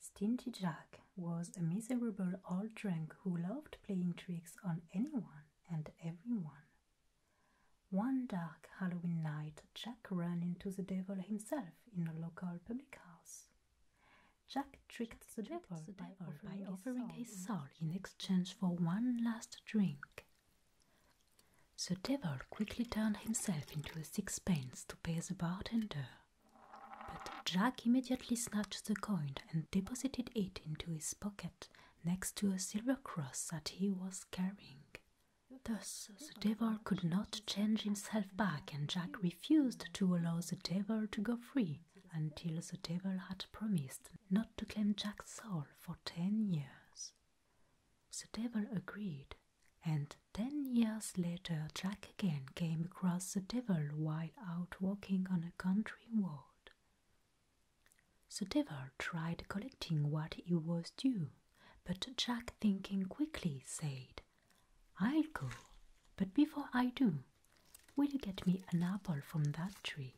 Stingy Jack was a miserable old drunk who loved playing tricks on anyone and everyone. One dark Halloween night, Jack ran into the devil himself in a local public house. Jack tricked the devil, by offering, his, soul in exchange for one last drink. The devil quickly turned himself into a sixpence to pay the bartender. But Jack immediately snatched the coin and deposited it into his pocket, next to a silver cross that he was carrying. Thus, the devil could not change himself back, and Jack refused to allow the devil to go free until the devil had promised not to claim Jack's soul for ten years. The devil agreed, and ten years later, Jack again came across the devil while out walking on a country road. The devil tried collecting what he was due, but Jack, thinking quickly, said, I'll go, but before I do, will you get me an apple from that tree?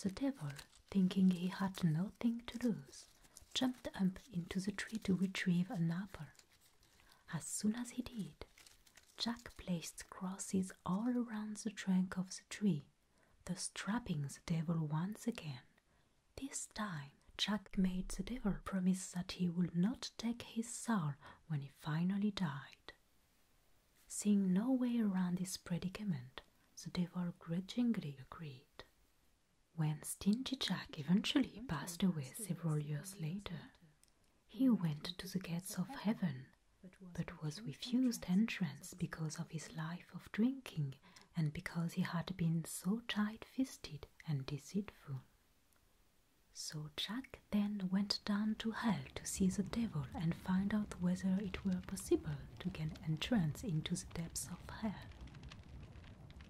The devil, thinking he had nothing to lose, jumped up into the tree to retrieve an apple. As soon as he did, Jack placed crosses all around the trunk of the tree the strapping's devil once again. This time, Jack made the devil promise that he would not take his soul when he finally died. Seeing no way around this predicament, the devil grudgingly agreed. When Stingy Jack eventually passed away several years later, he went to the gates of heaven but was refused entrance because of his life of drinking and because he had been so tight fisted and deceitful. So Jack then went down to hell to see the devil and find out whether it were possible to gain entrance into the depths of hell.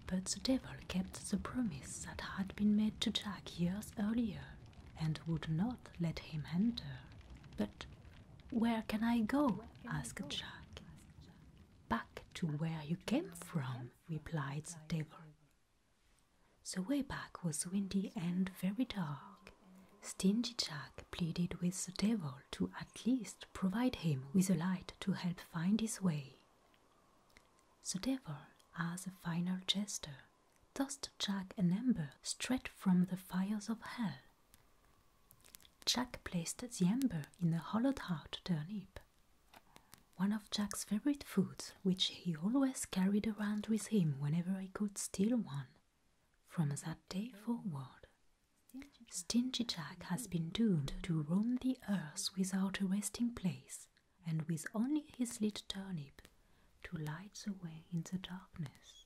But the devil kept the promise that had been made to Jack years earlier and would not let him enter. But where can I go? asked Jack. Back to where you came from, replied the devil. The way back was windy and very dark. Stingy Jack pleaded with the devil to at least provide him with a light to help find his way. The devil, as a final gesture, tossed Jack an ember straight from the fires of hell. Jack placed the amber in a hollowed out turnip, one of Jack's favorite foods, which he always carried around with him whenever he could steal one. From that day forward, Stingy Jack has been doomed to roam the earth without a resting place, and with only his lit turnip to light the way in the darkness.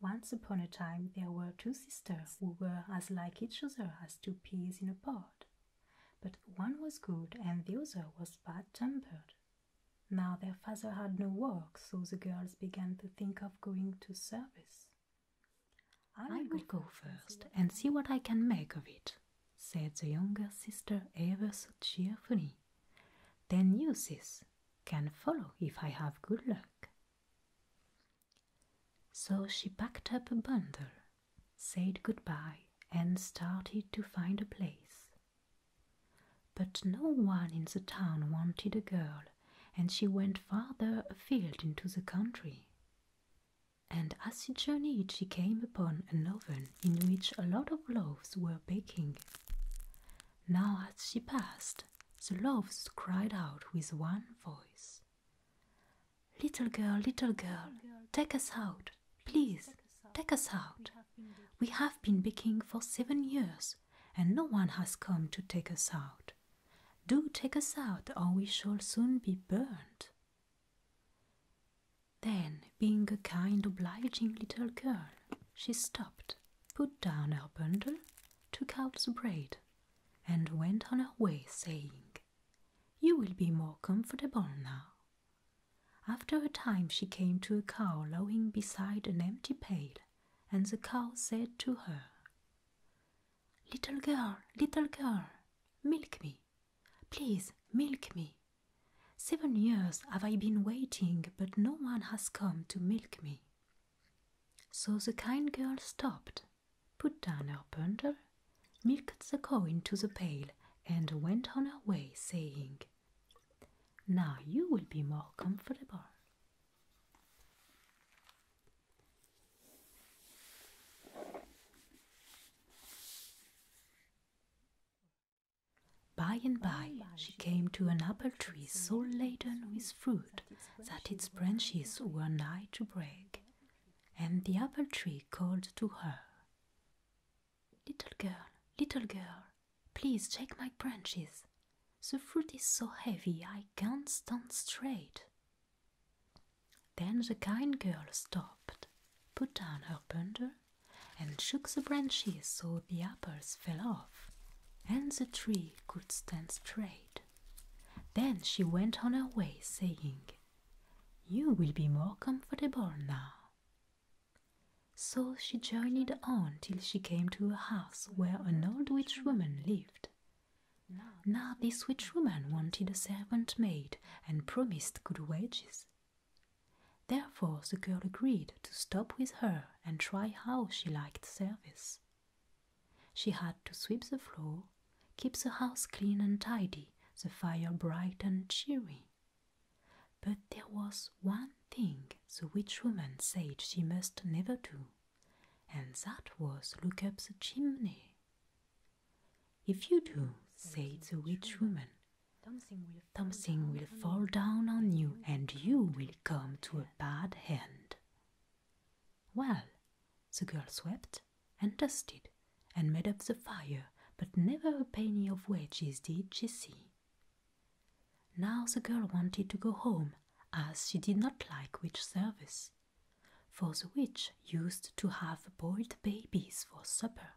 Once upon a time there were two sisters who were as like each other as two peas in a pod, but one was good and the other was bad tempered. Now their father had no work, so the girls began to think of going to service. I will go first and see what I can make of it, said the younger sister ever so cheerfully. Then you, sis, can follow if I have good luck. So she packed up a bundle, said good bye, and started to find a place. But no one in the town wanted a girl, and she went farther afield into the country. And as she journeyed, she came upon an oven in which a lot of loaves were baking. Now, as she passed, the loaves cried out with one voice Little girl, little girl, take us out, please, take us out. We have been baking for seven years, and no one has come to take us out. Do take us out, or we shall soon be burnt. Then, being a kind, obliging little girl, she stopped, put down her bundle, took out the braid, and went on her way, saying, You will be more comfortable now. After a time, she came to a cow lowing beside an empty pail, and the cow said to her, Little girl, little girl, milk me. Please milk me. Seven years have I been waiting, but no one has come to milk me. So the kind girl stopped, put down her bundle, milked the cow into the pail, and went on her way, saying, Now you will be more comfortable. By and by she came to an apple tree so laden with fruit that its branches were nigh to break, and the apple tree called to her. Little girl, little girl, please shake my branches. The fruit is so heavy I can't stand straight. Then the kind girl stopped, put down her bundle, and shook the branches so the apples fell off, and the tree could stand straight. Then she went on her way, saying, You will be more comfortable now. So she journeyed on till she came to a house where an old witch woman lived. Now this witch woman wanted a servant maid and promised good wages, Therefore the girl agreed to stop with her and try how she liked service. She had to sweep the floor, keep the house clean and tidy, the fire bright and cheery. But there was one thing the witch woman said she must never do, and that was look up the chimney. If you do, said the witch woman, Something will, fall down on you, and you will come to a bad end. Well, the girl swept and dusted and made up the fire, but never a penny of wages did she see. Now the girl wanted to go home, as she did not like witch service, for the witch used to have boiled babies for supper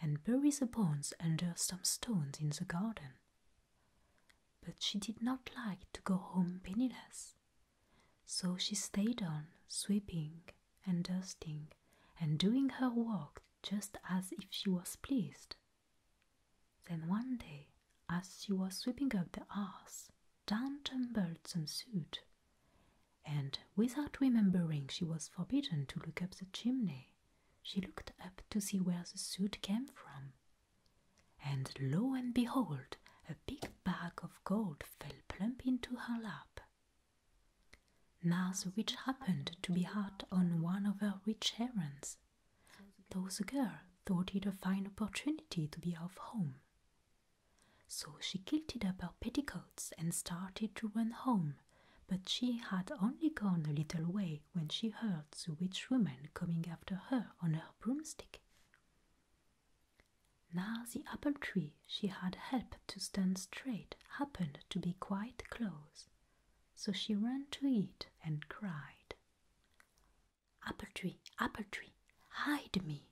and bury the bones under some stones in the garden. But she did not like to go home penniless, so she stayed on sweeping and dusting and doing her work just as if she was pleased. Then one day, as she was sweeping up the house, down tumbled some soot, and without remembering she was forbidden to look up the chimney, she looked up to see where the suit came from. And lo and behold, a big bag of gold fell plump into her lap. Now the witch happened to be out on one of her rich errands, though the girl thought it a fine opportunity to be off home. So she kilted up her petticoats and started to run home but she had only gone a little way when she heard the witch woman coming after her on her broomstick. Now the apple tree she had helped to stand straight happened to be quite close, so she ran to it and cried, Apple tree, apple tree, hide me,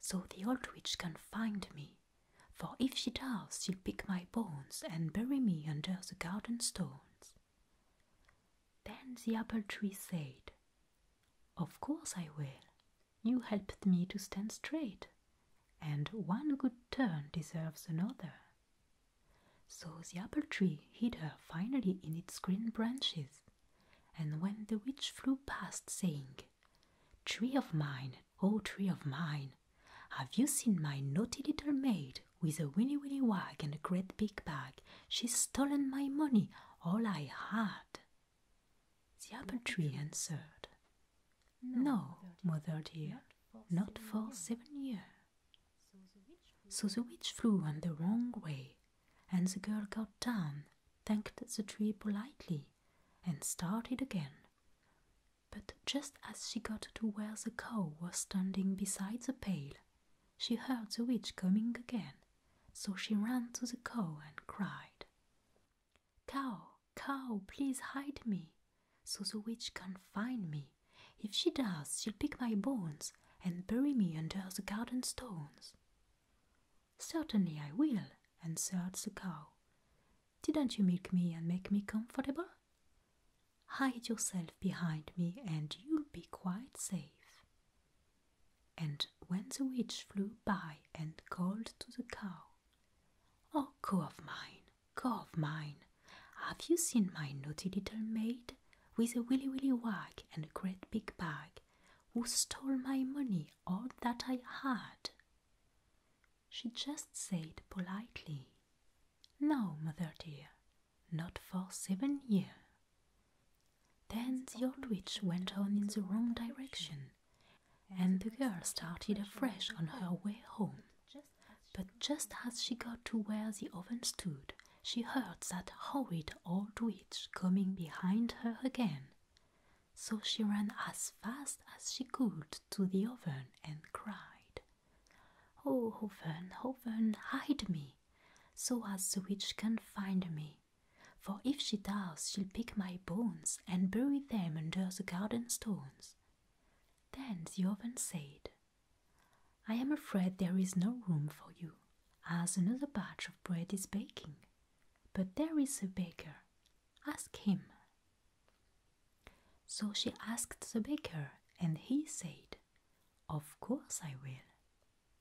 so the old witch can not find me for if she does, she'll pick my bones and bury me under the garden stones. Then the apple tree said, Of course I will. You helped me to stand straight, and one good turn deserves another. So the apple tree hid her finally in its green branches, and when the witch flew past, saying, Tree of mine, all tree of mine. Have you seen my naughty little maid with a winny winny wag and a great big bag? She's stolen my money, all I had. The apple tree answered, No, mother dear, not for seven years. So the witch flew on the wrong way, and the girl got down, thanked the tree politely, and started again. But just as she got to where the cow was standing beside the pail, she heard the witch coming again, so she ran to the cow and cried, Cow, cow, please hide me, so the witch can not find me. If she does, she'll pick my bones and bury me under the garden stones. Certainly I will, answered the cow. Didn't you milk me and make me comfortable? Hide yourself behind me and you'll be quite safe. And when the witch flew by and called to the cow, Oh, cow of mine, cow of mine, have you seen my naughty little maid with a willy willy wag and a great big bag, who stole my money, all that I had? she just said politely, No, mother dear, not for seven years. Then the old witch went on in the wrong direction, and the girl started afresh on her way home. But just as she got to where the oven stood, she heard that horrid old witch coming behind her again so she ran as fast as she could to the oven and cried, Oh, oven, oven, hide me, so as the witch can not find me. For if she does, she'll pick my bones and bury them under the garden stones. Then the oven said, I am afraid there is no room for you, as another batch of bread is baking. But there is a baker, Ask him. So she asked the baker, and he said, Of course I will.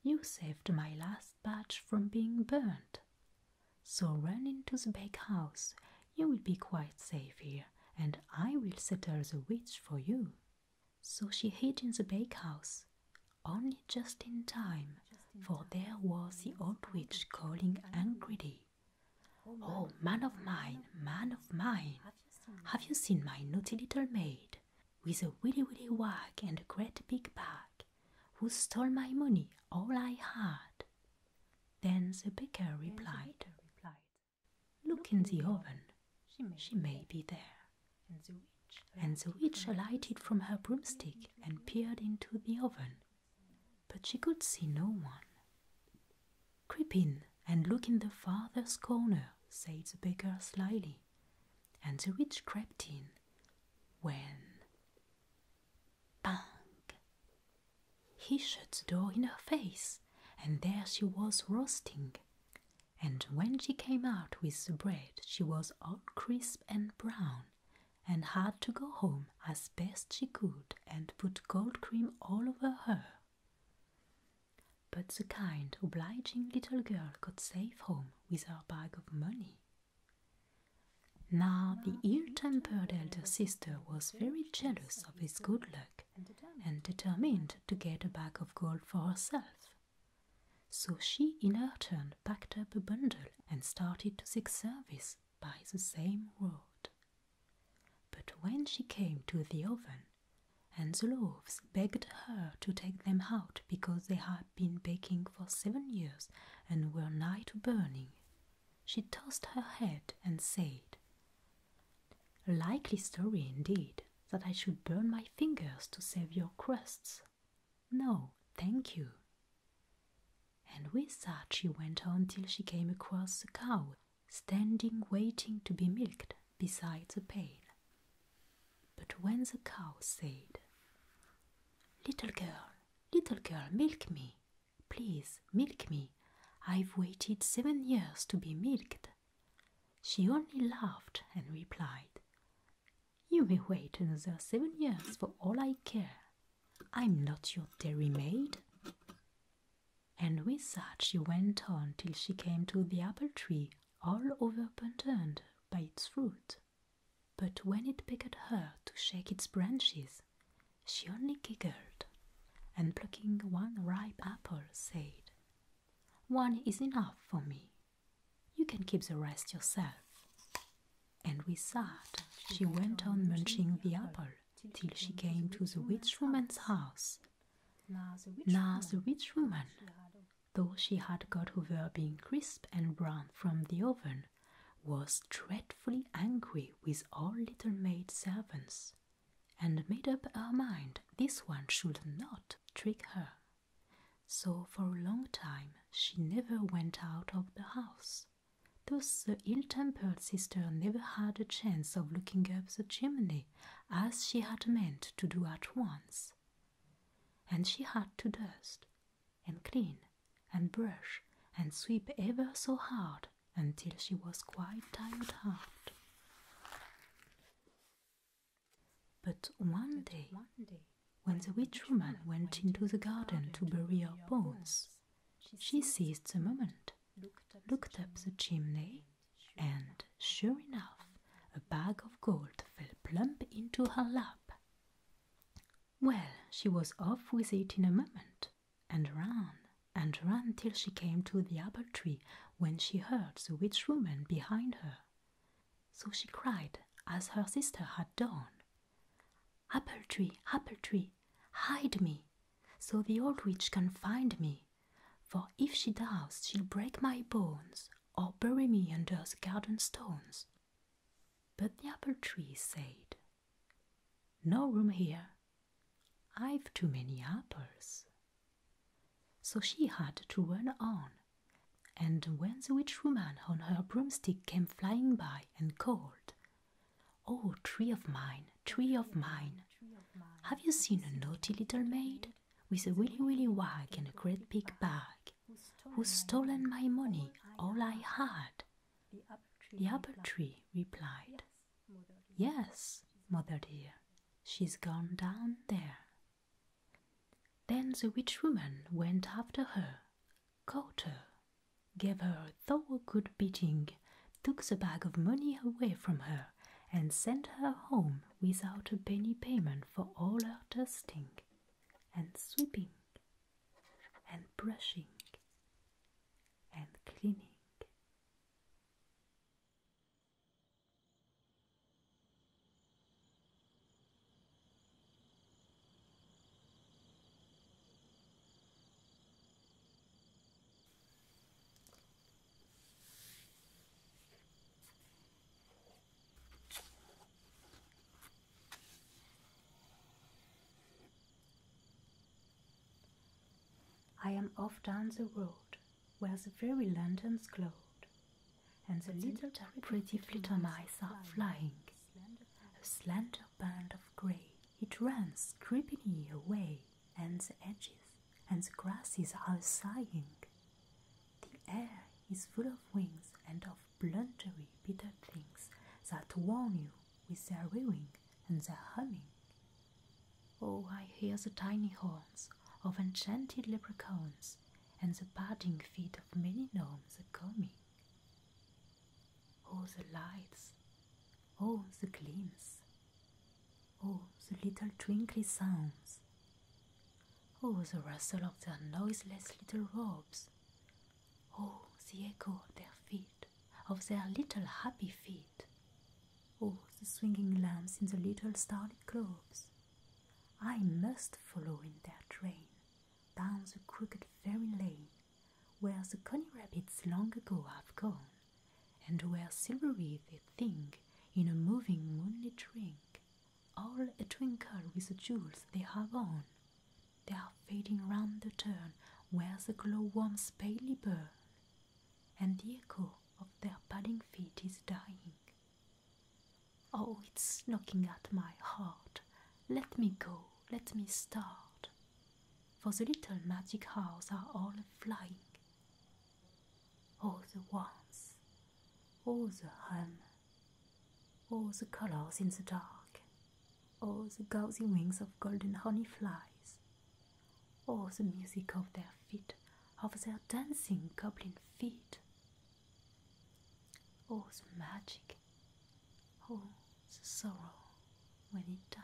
You saved my last batch from being burnt. So run into the bakehouse, you will be quite safe here, and I will settle the witch for you. So she hid in the bakehouse, only just in time, for there was the old witch calling angrily. Oh, oh man. of mine, man of mine, have you seen my naughty little maid, with a witty witty wag and a great big bag, who stole my money, all I had? Then the baker replied, Look in the oven, she may be there. And the witch alighted from her broomstick and peered into the oven but she could see no one. Creep in and look in the farthest corner, said the baker slyly, and the witch crept in when bang! He shut the door in her face, and there she was roasting. And when she came out with the bread, she was all crisp and brown, and had to go home as best she could and put cold cream all over her. But the kind, obliging little girl got safe home with her bag of money. Now the ill-tempered elder sister was very jealous of his good luck and determined to get a bag of gold for herself. So she in her turn packed up a bundle and started to seek service by the same road. But when she came to the oven, and the loaves begged her to take them out because they had been baking for seven years and were nigh to burning, she tossed her head and said, likely story indeed that I should burn my fingers to save your crusts. No, thank you, and with that she went on till she came across a cow, standing waiting to be milked beside a pail. But when the cow said, Little girl, little girl, milk me, please milk me, I've waited seven years to be milked, she only laughed and replied, You may wait another seven years for all I care. I'm not your dairy maid. And with that she went on till she came to the apple tree, all overburdened by its fruit. But when it begged her to shake its branches, she only giggled, and plucking one ripe apple, said, One is enough for me. You can keep the rest yourself. And with that, she went on munching the apple till she came to the witch woman's house. Now the witch woman, though she had got over being crisp and brown from the oven, was dreadfully angry with all little maid servants, and made up her mind this one should not trick her. So for a long time she never went out of the house, Thus the ill-tempered sister never had a chance of looking up the chimney, as she had meant to do at once. And she had to dust, and clean, and brush, and sweep ever so hard until she was quite tired out. But one day, when the witch woman went into the garden to bury her bones, she seized the moment, looked up the chimney, and, sure enough, a bag of gold fell plump into her lap. Well, she was off with it in a moment, and ran, and ran till she came to the apple tree, when she heard the witch woman behind her. So she cried, as her sister had done, Apple tree, apple tree, hide me, so the old witch can not find me. For if she does, she'll break my bones, or bury me under the garden stones. But the apple tree said, No room here. I've too many apples. So she had to run on. And when the witch woman on her broomstick came flying by and called, Oh, tree of mine, tree of mine, have you seen a naughty little maid with a willy willy wag and a great big bag, who's stolen my money, all I had? The apple tree replied, Yes, mother dear, she's gone down there. Then the witch woman went after her caught her, gave her a thorough good beating, took the bag of money away from her, and sent her home without a penny payment for all her dusting, and sweeping, and brushing, and cleaning. I am off down the road, where the fairy lanterns glow, and the little pretty flittermice are flying a slender band of grey. It runs creepily away, and the edges and the grasses are sighing. The air is full of wings and of blundery bitter things that warn you with their whirring and their humming. Oh, I hear the tiny horns of enchanted leprechauns and the padding feet of many gnomes coming. Oh the lights, oh the gleams, oh the little twinkly sounds, oh the rustle of their noiseless little robes, oh the echo of their feet, of their little happy feet, oh the swinging lamps in the little starlit groves. I must follow in their train down the crooked fairy lane, where the cony rabbits long ago have gone, and where silvery they think in a moving moonlit ring, all a twinkle with the jewels they have on. They are fading round the turn where the glow glowworms palely burn, and the echo of their padding feet is dying. Oh, it's knocking at my heart. Let me go, let me start. For the little magic hours are all flying. All the wands, all the hum, all the colors in the dark, all the gauzy wings of golden honey flies, all the music of their feet, of their dancing goblin feet, all the magic Oh, the sorrow when he dies.